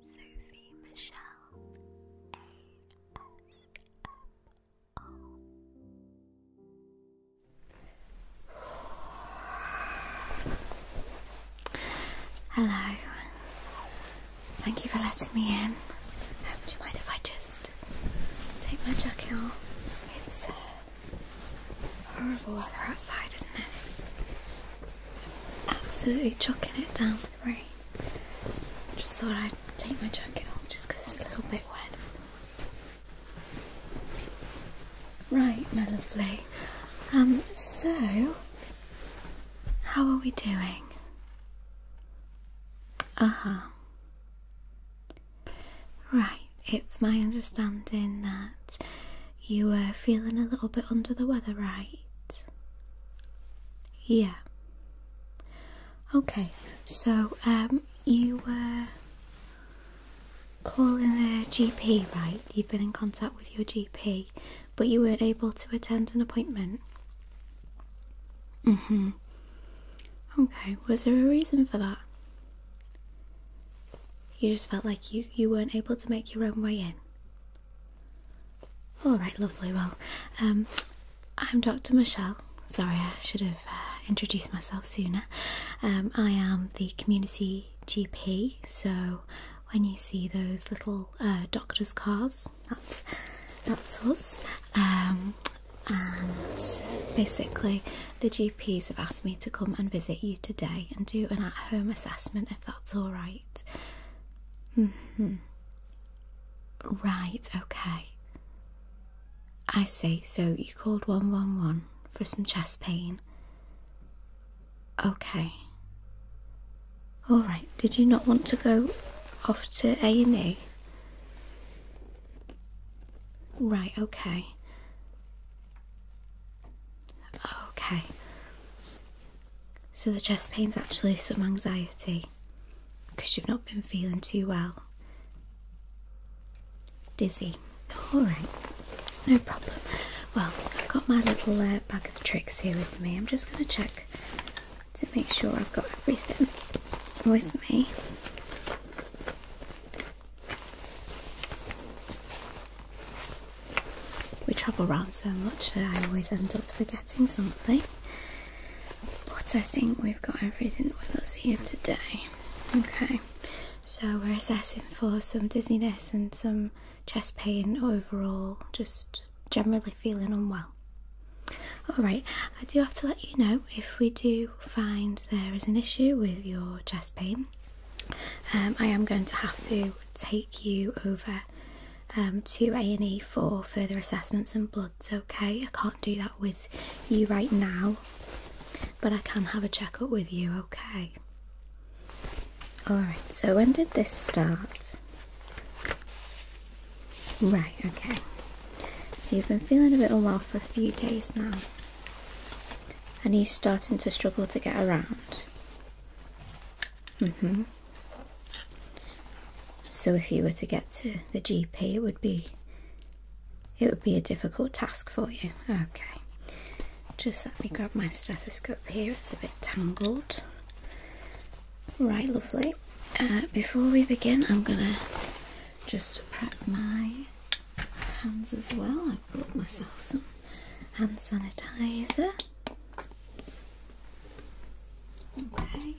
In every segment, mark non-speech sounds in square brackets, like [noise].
Sophie Michelle ASMR. Hello. Thank you for letting me in. Would um, you mind if I just take my jacket off? It's uh, horrible weather outside, isn't it? absolutely chucking it down with rain. Just thought I'd take my jacket off just because it's a little bit wet. Right, my lovely. Um, so how are we doing? Uh huh. Right, it's my understanding that you were feeling a little bit under the weather, right? Yeah. Okay, so um, you were calling the GP, right? You've been in contact with your GP, but you weren't able to attend an appointment. Mm hmm. Okay, was there a reason for that? You just felt like you, you weren't able to make your own way in. All right, lovely. Well, um, I'm Dr. Michelle. Sorry, I should have uh, introduced myself sooner. Um, I am the community GP, so when you see those little uh, doctors' cars, that's that's us. Um, and basically, the GPs have asked me to come and visit you today and do an at home assessment of that's all mm-hmm. Right, okay. I see, so you called 111 for some chest pain. Okay. All right, did you not want to go off to A&E? Right, okay. Okay. So the chest pain's actually some anxiety because you've not been feeling too well. Dizzy. Alright, no problem. Well, I've got my little uh, bag of tricks here with me. I'm just going to check to make sure I've got everything with me. We travel around so much that I always end up forgetting something. But I think we've got everything with us here today. Okay, so we're assessing for some dizziness and some chest pain overall, just generally feeling unwell. Alright, I do have to let you know if we do find there is an issue with your chest pain um, I am going to have to take you over um, to A&E for further assessments and bloods, okay? I can't do that with you right now, but I can have a checkup with you, okay? Alright, so when did this start? Right, okay. So you've been feeling a bit unwell for a few days now and he's starting to struggle to get around. Mm-hmm. So if you were to get to the GP, it would be it would be a difficult task for you. Okay. Just let me grab my stethoscope here. It's a bit tangled. Right, lovely. Uh, before we begin, I'm gonna just prep my hands as well. I have brought myself some hand sanitizer. Okay.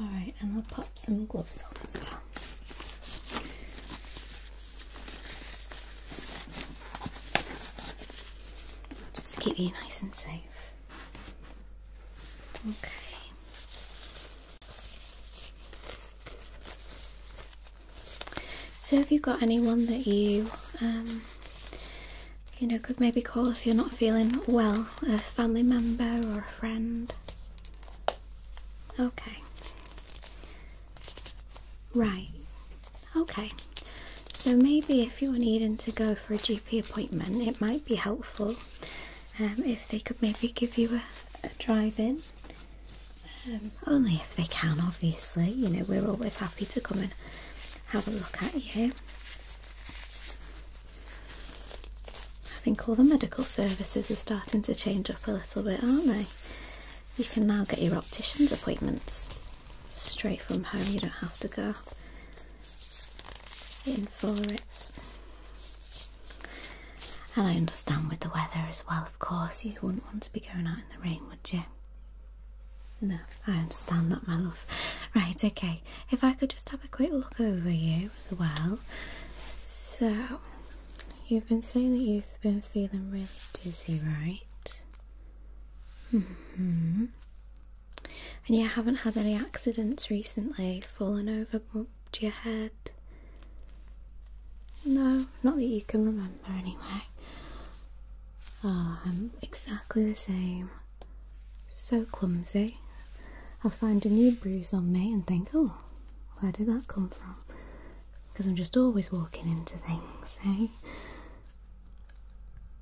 Alright, and I'll pop some gloves on as well. Just to keep you nice and safe. Okay. So, have you got anyone that you, um, you know, could maybe call if you're not feeling well? A family member or a friend? Okay. Right. Okay, so maybe if you're needing to go for a GP appointment, it might be helpful um, if they could maybe give you a, drive in. Um, only if they can, obviously. You know, we're always happy to come and have a look at you. I think all the medical services are starting to change up a little bit, aren't they? You can now get your optician's appointments straight from home, you don't have to go in for it. And I understand with the weather as well, of course, you wouldn't want to be going out in the rain, would you? No, I understand that, my love. Right, okay, if I could just have a quick look over you as well. So, you've been saying that you've been feeling really dizzy, right? hmm. And you haven't had any accidents recently, fallen over, bumped your head. No, not that you can remember anyway. Oh, I'm exactly the same. So clumsy. i find a new bruise on me and think, oh, where did that come from? Because I'm just always walking into things, eh?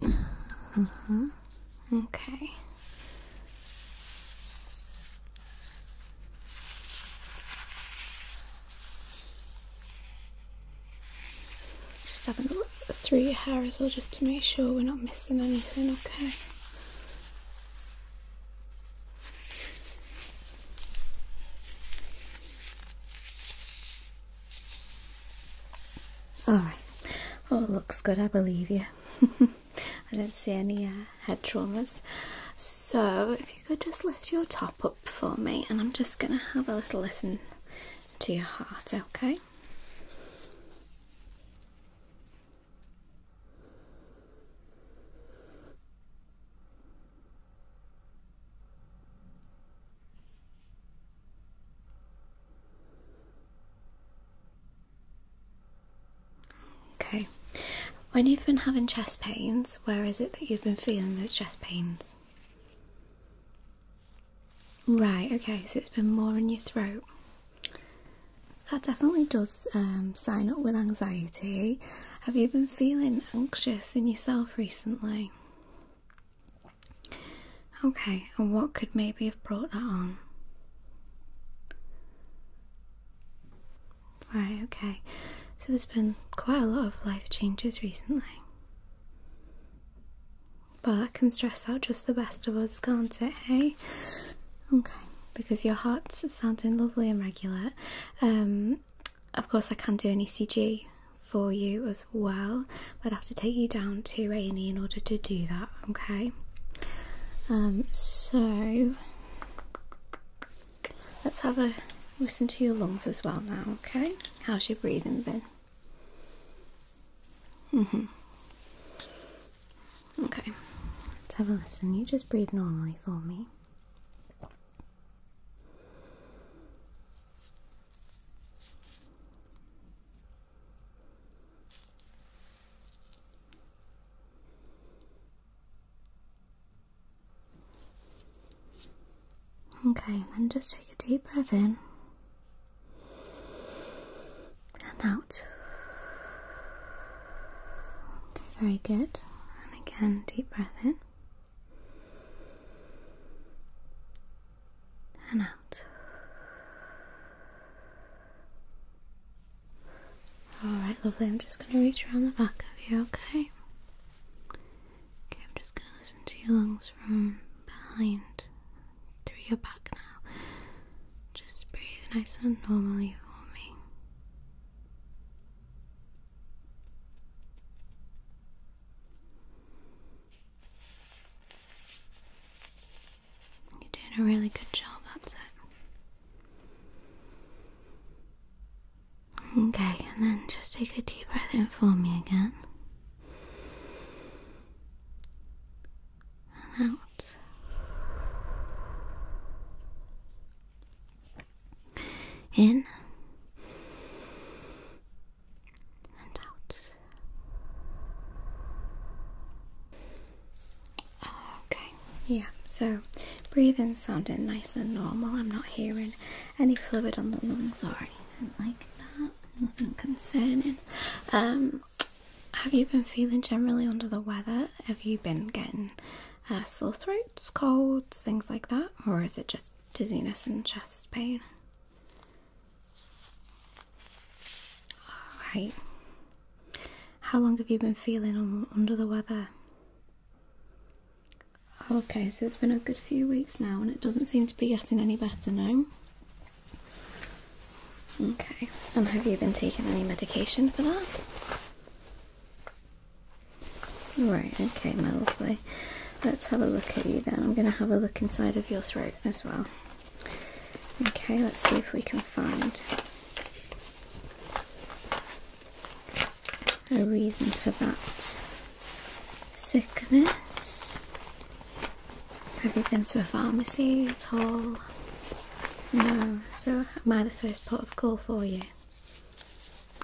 Mm-hmm. Okay. Just having a look at the three hair as well, just to make sure we're not missing anything, okay? All right. Well, looks good. I believe you. [laughs] I don't see any uh, head traumas. So, if you could just lift your top up for me, and I'm just going to have a little listen to your heart, okay? Okay, when you've been having chest pains, where is it that you've been feeling those chest pains? Right, okay, so it's been more in your throat. That definitely does um, sign up with anxiety. Have you been feeling anxious in yourself recently? Okay, and what could maybe have brought that on? Right, okay. So there's been quite a lot of life changes recently. But that can stress out just the best of us, can't it, hey? Okay, because your heart's sounding lovely and regular. Um, of course, I can do an ECG for you as well, but I have to take you down to A and in order to do that. Okay. Um, so let's have a listen to your lungs as well now. Okay. How's your breathing been? Mhm. okay. Let's have a listen. You just breathe normally for me. Okay, then just take a deep breath in and out. Okay, very good. And again, deep breath in and out. Alright, lovely. I'm just going to reach around the back of you, okay? Okay, I'm just going to listen to your lungs from behind through your back now. Just breathe nice and normally for me. You're doing a really good job, that's it. Okay, and then just take a deep breath in for me again. And out. In and out. Okay, yeah, so breathing sounding nice and normal. I'm not hearing any fluid on the lungs Sorry, like that. Nothing concerning. Um, have you been feeling generally under the weather? Have you been getting uh, sore throats, colds, things like that? Or is it just dizziness and chest pain. Alright. How long have you been feeling under the weather? Okay, so it's been a good few weeks now and it doesn't seem to be getting any better now. Okay, and have you been taking any medication for that? Right, okay, my lovely. Let's have a look at you then. I'm going to have a look inside of your throat as well. Okay, let's see if we can find a reason for that sickness. Have you been to a pharmacy at all? No. So, am I the first port of call for you?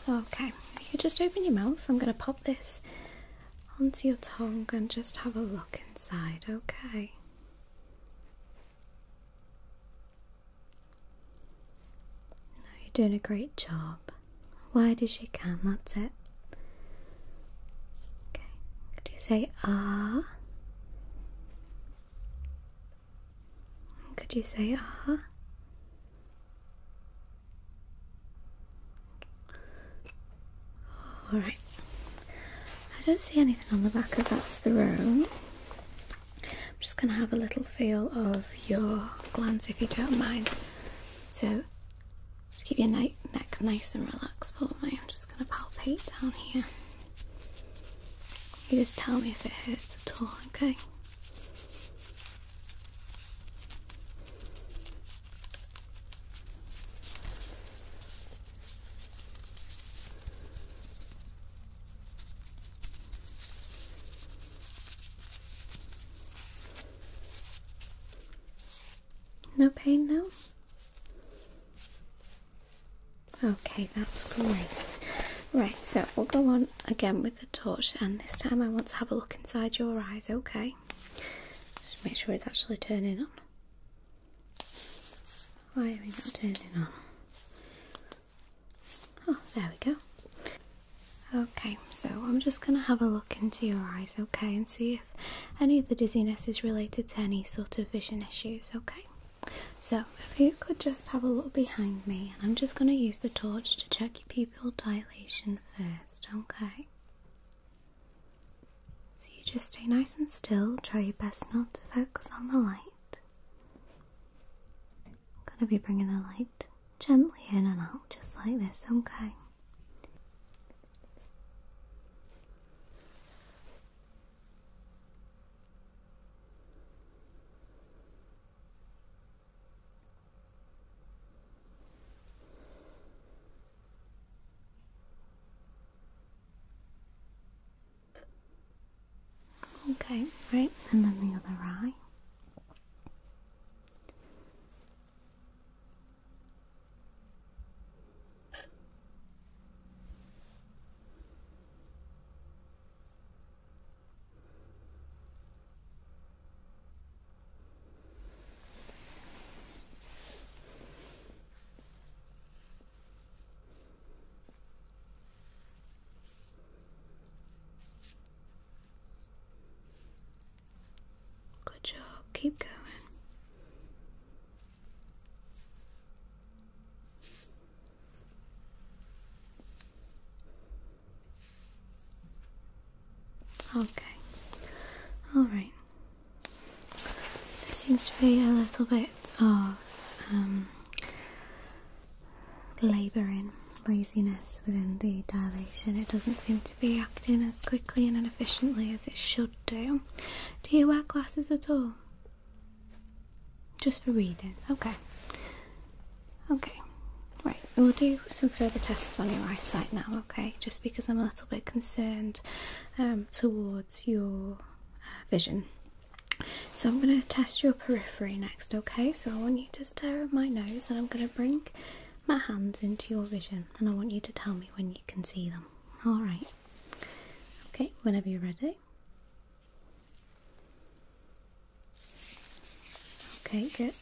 Okay, you just open your mouth, I'm going to pop this onto your tongue and just have a look inside, okay? No, you're doing a great job. Wide as you can, that's it. Okay, could you say ah? Could you say ah? Uh-huh? Alright. I don't see anything on the back of that's the room. I'm just going to have a little feel of your glands if you don't mind. So, just keep your neck nice and relaxed for me. I'm just going to palpate down here. You just tell me if it hurts at all, okay? No pain no. Okay, that's great. Right, so we'll go on again with the torch, and this time I want to have a look inside your eyes, okay? Just make sure it's actually turning on. Why are we not turning on? Oh, there we go. Okay, so I'm just going to have a look into your eyes, okay, and see if any of the dizziness is related to any sort of vision issues, okay? So, if you could just have a look behind me, and I'm just going to use the torch to check your pupil dilation first, okay? So, you just stay nice and still, try your best not to focus on the light. I'm going to be bringing the light gently in and out, just like this, okay? Okay, right, and then the other eye. Good job, keep going. Okay. All right. There seems to be a little bit of um, labouring laziness within the dilation. It doesn't seem to be acting as quickly and efficiently as it should do. Do you wear glasses at all? Just for reading. Okay. Okay. Right. We'll do some further tests on your eyesight now, okay? Just because I'm a little bit concerned um, towards your uh, vision. So I'm going to test your periphery next, okay? So I want you to stare at my nose and I'm going to bring my hands into your vision and I want you to tell me when you can see them. Alright. Okay, whenever you're ready. Okay, good.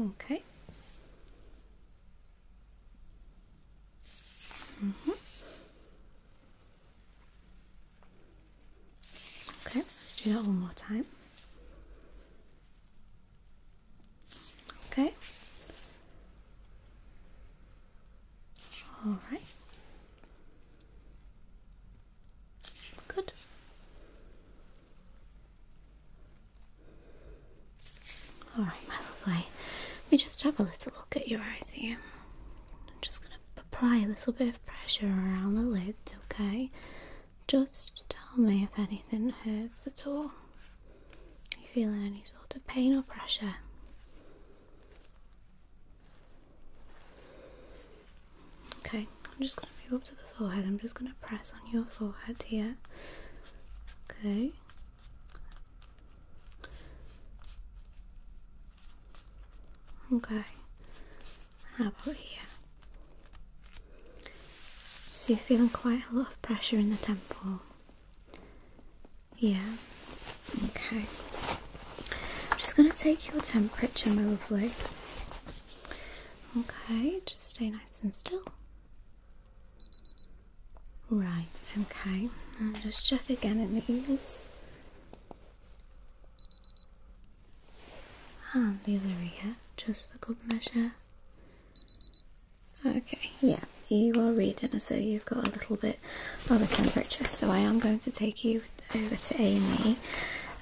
Okay. Mm -hmm. Okay, let's do that one more time. Okay. All right. Good. All right, my lovely. Let me just have a little look at your eyes here. I'm just going to apply a little bit of pressure around the lids, okay? Just tell me if anything hurts at all you feeling any sort of pain or pressure? Okay, I'm just going to move up to the forehead. I'm just going to press on your forehead here. Okay. Okay. How about here? So you're feeling quite a lot of pressure in the temple. Yeah. Okay. I'm just going to take your temperature, my lovely. Okay, just stay nice and still. Right, okay. just check again in the ears. And the other ear, just for good measure. Okay, yeah, you are reading as though you've got a little bit of a temperature, so I am going to take you over to Amy.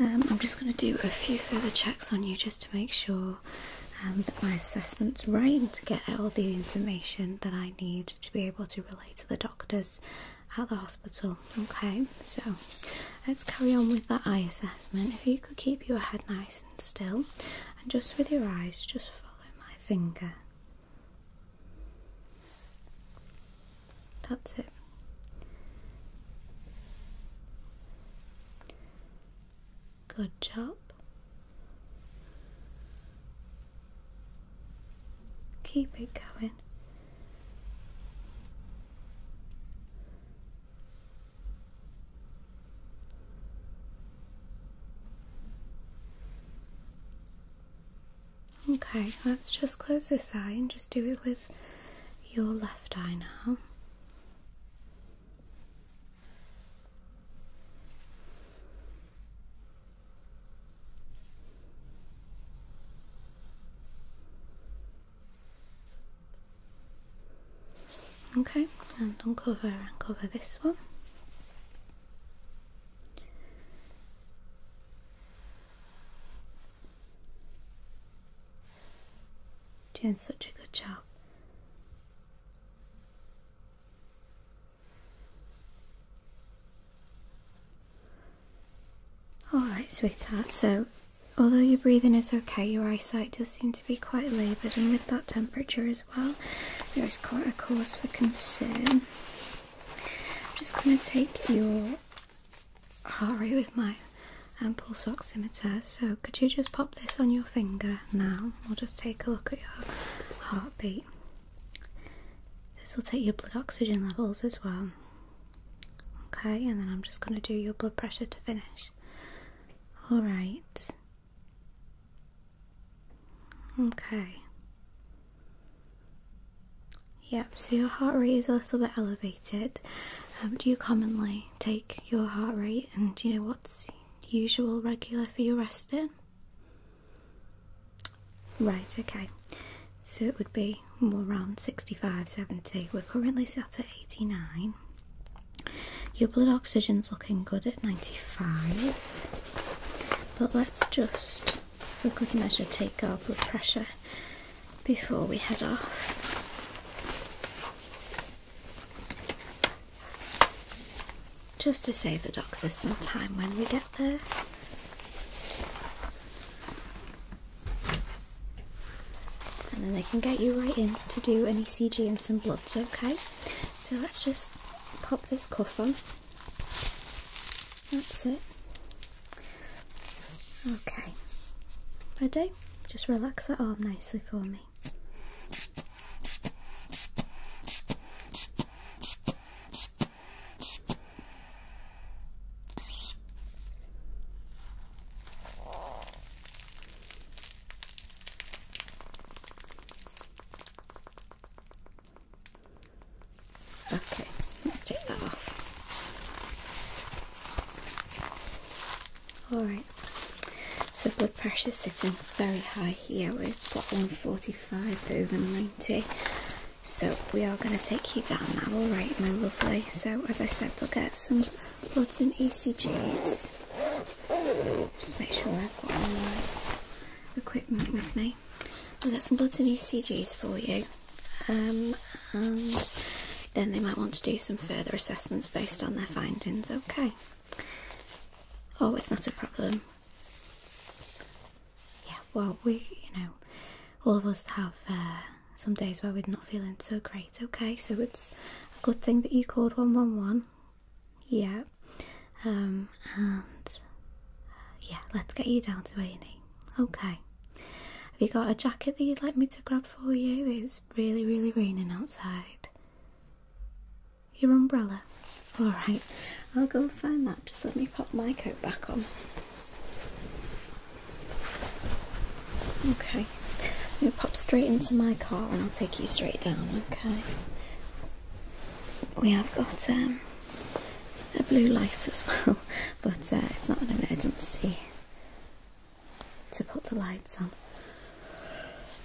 Um, I'm just going to do a few further checks on you just to make sure um, that my assessment's right to get all the information that I need to be able to relay to the doctors at the hospital. Okay, so let's carry on with that eye assessment. If you could keep your head nice and still, and just with your eyes, just follow my finger. That's it. Good job. Keep it going. Okay, let's just close this eye and just do it with your left eye now. Okay, and uncover and cover this one. Doing such a good job. Alright, sweetheart, so although your breathing is okay, your eyesight does seem be quite laboured, and with that temperature as well, there is quite a cause for concern. I'm just going to take your heart rate with my um, pulse oximeter. So, could you just pop this on your finger now? We'll just take a look at your heartbeat. This will take your blood oxygen levels as well. Okay, and then I'm just going to do your blood pressure to finish. Alright, Okay. Yep, so your heart rate is a little bit elevated. Um, do you commonly take your heart rate and do you know what's usual, regular for your resting? Right, okay. So it would be more around 65, 70. We're currently set at 89. Your blood oxygen's looking good at 95, but let's just, for good measure, take our blood pressure before we head off. Just to save the doctors some time when we get there. And then they can get you right in to do an ECG and some bloods, okay? So let's just pop this cuff on. That's it. Okay. I Just relax that arm nicely for me. Okay, let's take that off. Alright, so blood pressure sitting very high here. We've got 145 over 90. So we are going to take you down now, alright, my lovely. So, as I said, we'll get some lots of ECGs. Just make sure I've got all my equipment with me. I've got some lots of ECGs for you. Um, and then they might want to do some further assessments based on their findings. Okay. Oh, it's not a problem. Yeah, well, we, you know, all of us have uh, some days where we're not feeling so great. It's okay, so it's a good thing that you called 111. Yeah. Um, and yeah, let's get you down to a Okay. Have you got a jacket that you'd like me to grab for you? It's really, really raining outside. Your umbrella? Alright, I'll go find that. Just let me pop my coat back on. Okay. we am pop straight into my car and I'll take you straight down, okay? We have got um, a blue light as [laughs] well, but uh, it's not an emergency to put the lights on.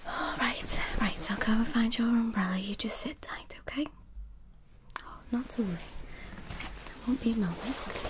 All right, right, I'll go and find your umbrella. You just sit tight, okay? Oh, not to worry. There won't be a moment,